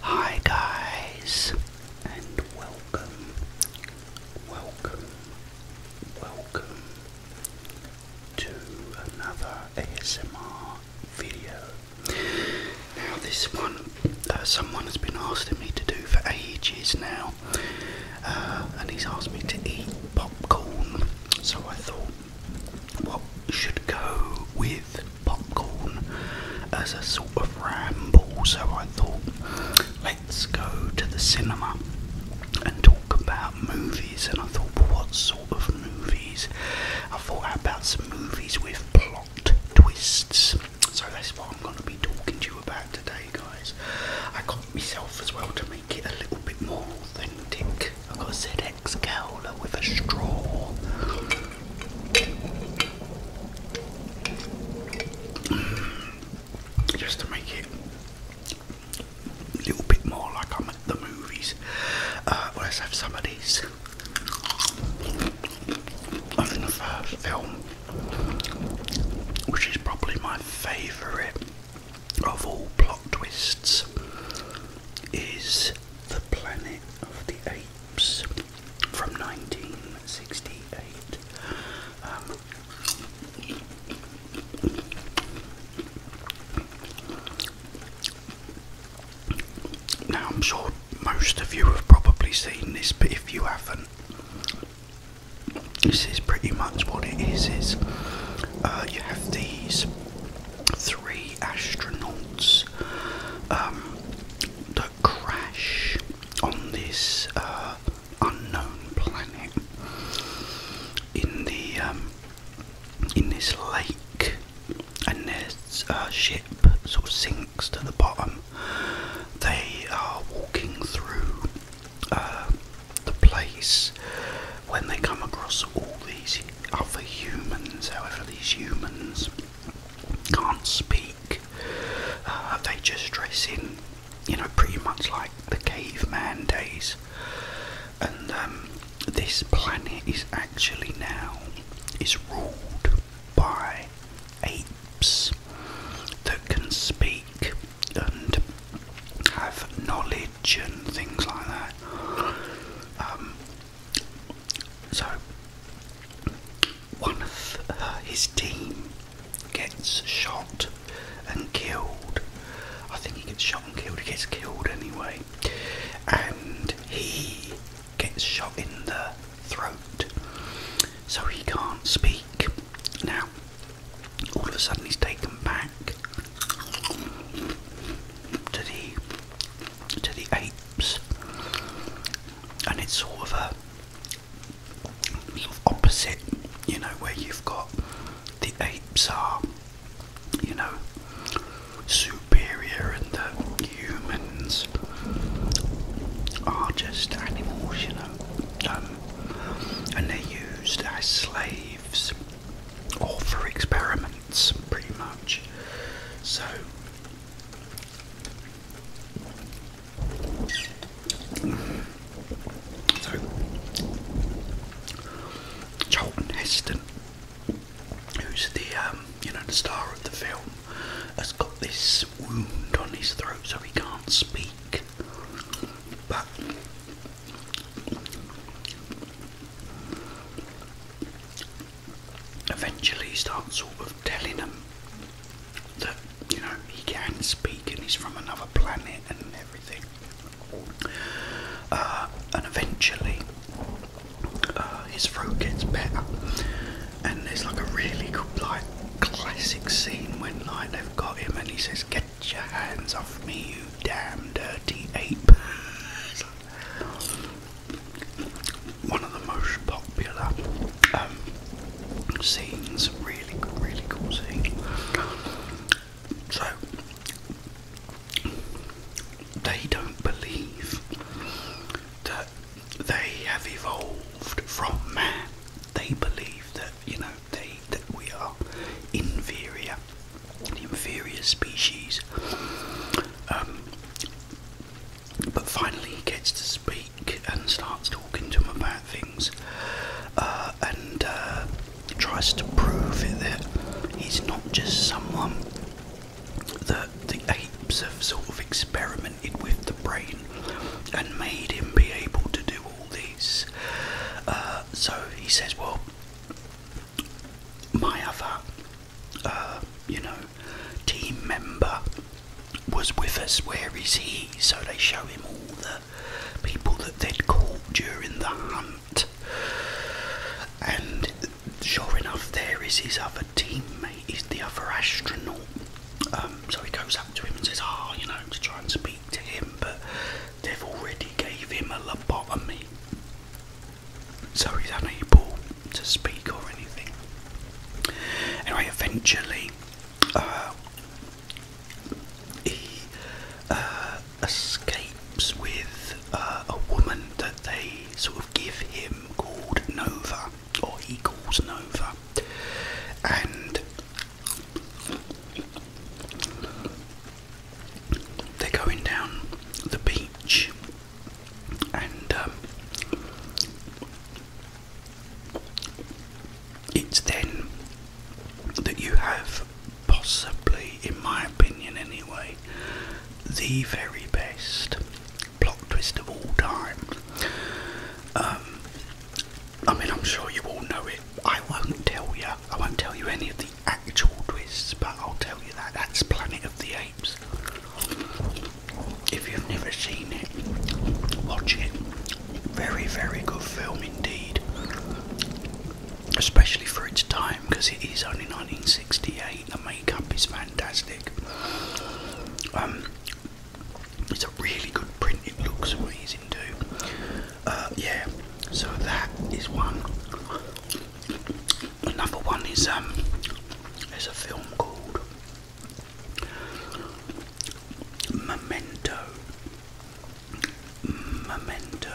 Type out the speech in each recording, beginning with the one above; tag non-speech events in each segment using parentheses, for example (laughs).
Hi guys and welcome, welcome, welcome to another ASMR video. Now this one, uh, someone has been asking me to do for ages now uh, and he's asked me to eat popcorn so I thought what should go with popcorn as a sort of ramble, so I thought, let's go to the cinema and talk about movies. And I thought, well, what sort of movies? I thought, about some movies with plot twists? So that's what I'm going to be talking to you about today, guys. I got myself as well to make it a little bit more authentic. I've got a ZX Cowler with a straw. Just to make it a little bit more like I'm at the movies. let's have some of these. I the first film, which is probably my favourite of all plot twists, is The Planet of the Apes from 1968. Um, now, I'm sure most of you have probably seen this, but if you haven't, this is pretty much what it is. Is uh, you have these three astronauts um, the crash on this uh, unknown planet in the um, in this lake, and this uh, ship sort of sinks to the bottom. They are walking through uh, the place when they come across all these other humans. However, these humans can't speak. Uh, they just dress in, you know, pretty much like the caveman days. And um, this planet is actually now is ruled by apes that can speak and have knowledge and things like that. Um, so, one of his team gets shot and killed. I think he gets shot and killed. He gets killed anyway, and he gets shot in the throat, so he can't speak. Now, all of a sudden, he's taken back to the to the apes, and it's sort of a opposite, you know, where you've got the apes are, you know, superior, and the humans are just animals, you know, um, and they're used as slaves or for experiments, pretty much. So so, Charlton Heston, who's the um, you know the star of the film, has got this wound on his throat, so he can't speak. But eventually starts sort of telling them that you know he can speak and he's from another planet and everything. Uh, and eventually, uh, his throat gets better, and there's like a really good, like classic scene when like they've got him and he says, "Get your hands off me, you damn dirty ape!" (laughs) one of the most popular um, scenes, really, really cool scene. So, they don't believe that they have evolved from man. They believe that, you know, they that we are inferior, inferior species. Um, but finally, he gets to speak and starts talking to him about things uh, and uh, tries to prove that he's not just someone that the apes have sort of experimented with the brain and made him be able to do all these. Uh, so he says, Well, my other, uh, you know, team member was with us. Where is he? So they show him all the people that they'd caught during the hunt, and sure enough, there is his other teammate. He's the other astronaut. Um, so he goes up to him and says, "Ah, you know," to try and speak to him, but they've already gave him a lobotomy so he's unable to speak or anything. Anyway, eventually, uh, he uh, escapes with uh, a woman that they sort of give him called Nova, or he calls Nova, and they're going down the beach and um, it's then that you have possibly, in my opinion anyway, the very best plot twist of all time. Um, I mean, I'm sure you all know it. I won't tell you. I won't tell you any of the actual twists, but I'll tell you that that's Planet of the Apes. If you've never seen it, watch it. Very, very good film indeed. Especially for its time, because it is only 1968. The makeup is fantastic. Um, it's a really good print. It looks amazing too. Uh, yeah. So that is one. Number one is um there's a film called Memento. Memento,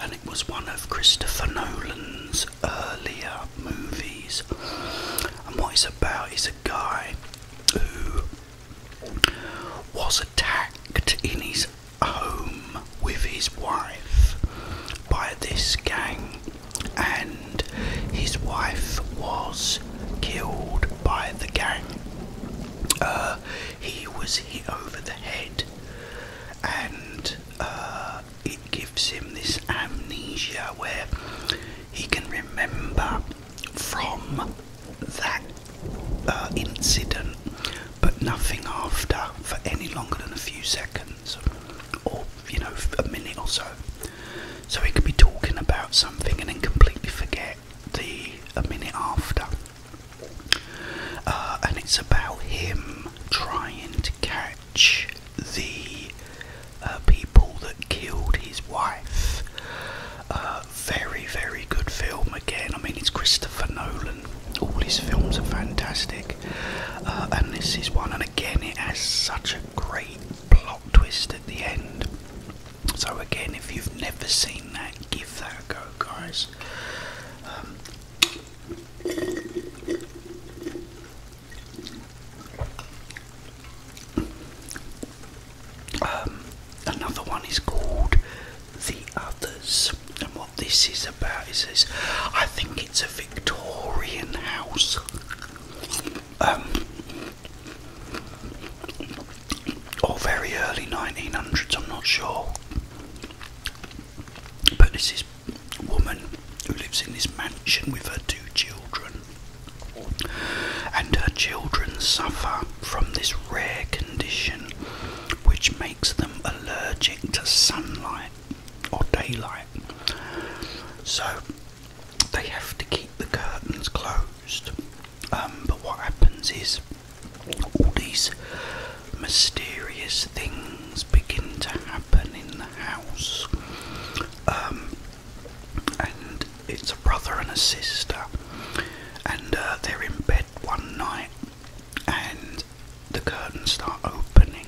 and it was one of Christopher Nolan's earlier movies. And what it's about is a guy who was attacked in his home with his wife by this gang and his wife was killed by the gang. Uh, he was hit over the head, and uh, it gives him this amnesia where he can remember from that uh, incident, but nothing after for any longer than a few seconds or you know a minute or so. So he could be talking about something and then completely forget the a minute after. Uh, and it's about him trying to catch the uh, people that killed his wife. Uh, very, very good film again. I mean, it's Christopher Nolan. All his films are fantastic. Uh, and this is one, and again, it has such a great plot twist at the end. So, again, if you've never seen that, give that a go, guys. Um, um, another one is called The Others, and what this is about is this I think it's a Victorian house. Um, or very early 1900s, I'm not sure. But this is a woman who lives in this mansion with her two children. And her children suffer from this rare condition which makes them allergic to sunlight or daylight. So they have to keep the curtains closed. Um, but what happens is all these mysterious things begin to happen in the house. Um, and it's a brother and a sister, and uh, they're in bed one night, and the curtains start opening,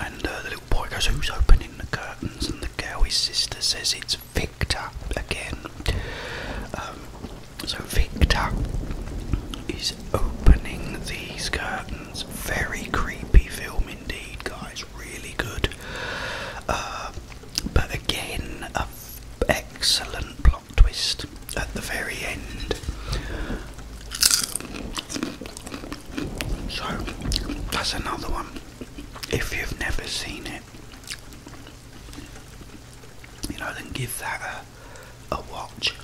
and uh, the little boy goes, "Who's opening the curtains?" And the girl, his sister, says, "It's Victor again." Um, so Victor is opening these curtains. Very creepy film indeed, guys. Really good. Uh, but again, a excellent plot twist at the very end. So that's another one. If you've never seen it, you know, then give that a, a watch.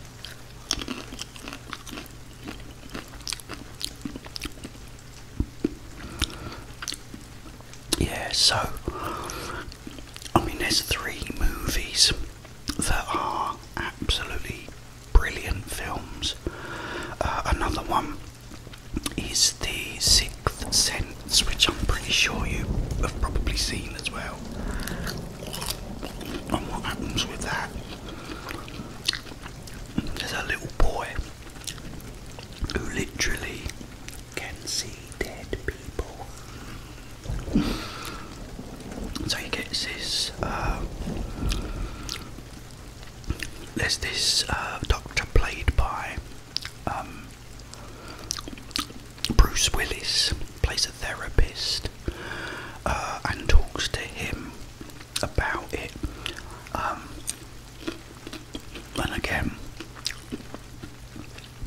Yeah, so I mean, there's three movies that are absolutely brilliant films. Uh, another one is The Sixth Sense, which I'm pretty sure you have probably seen as well. And what happens with that? There's a little boy who literally can see dead people. So he gets this. Um, there's this uh, doctor played by um, Bruce Willis, plays a therapist, uh, and talks to him about it. Um, and again,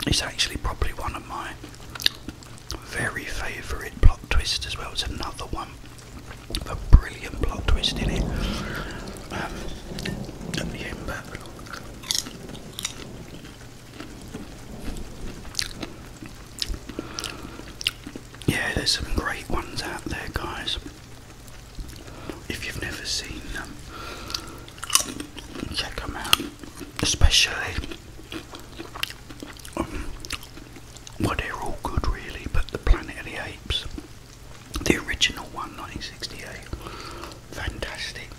it's actually probably one of my very favourite plot twist as well. It's another one, a brilliant plot twist in it. Um, yeah, there's some great ones out there, guys. If you've never seen them, check them out, especially well, they're all good really, but the Planet of the Apes, the original one, 1968, fantastic.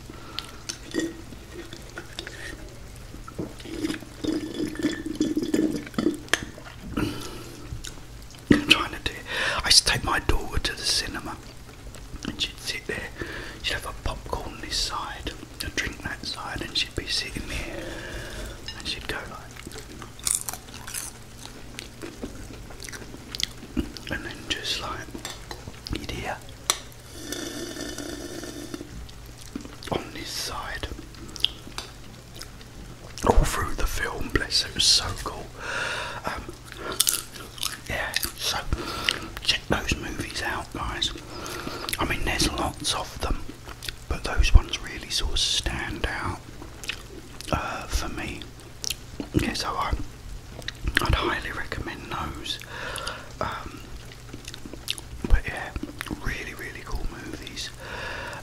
I'm trying to do I used to take my daughter to the cinema and she'd sit there, she'd have a popcorn this side a drink that side and she'd be sitting there and she'd go like and then just like you'd hear on this side all through the film bless it was so cool um, yeah so check those movies out guys I mean there's lots of them but those ones really sort of stand out uh, for me. Yeah, so I, would highly recommend those. Um, but yeah, really, really cool movies.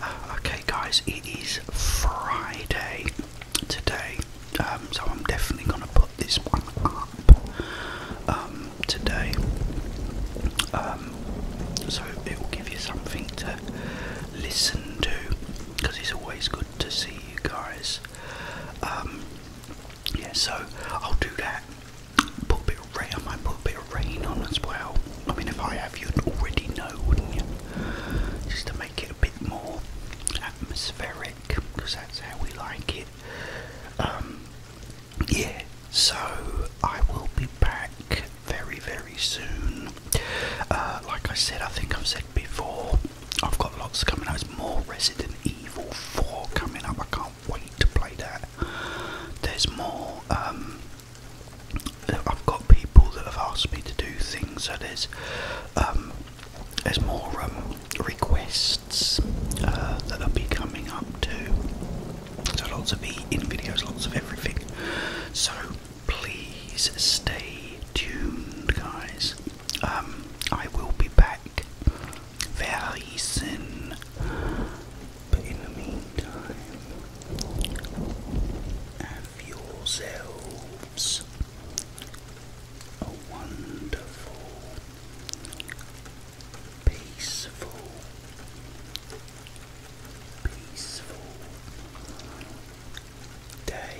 Uh, okay, guys, it is Friday today, um, so I'm definitely gonna put this one up. Um, today. Um, so it will give you something to listen to because it's always good to see you guys. Um, yeah, so I'll do that. Put a bit of rain, I put a bit of rain on as well. I mean, if I have, you'd already know, wouldn't you? Just to make it a bit more atmospheric because that's how we like it. Um, yeah, so I will be back very, very soon. Uh, like I said, I think I've said before, I've got lots coming out. There's more Resident Evil 4 coming up. I can't wait to play that. There's more. Um, I've got people that have asked me to do things, so there's um, there's more um, requests uh, that will be coming up too. So lots of in videos, lots of everything. So please stay tuned, guys. Um, I will be back very soon. But in the meantime, have yourselves a wonderful, peaceful, peaceful day.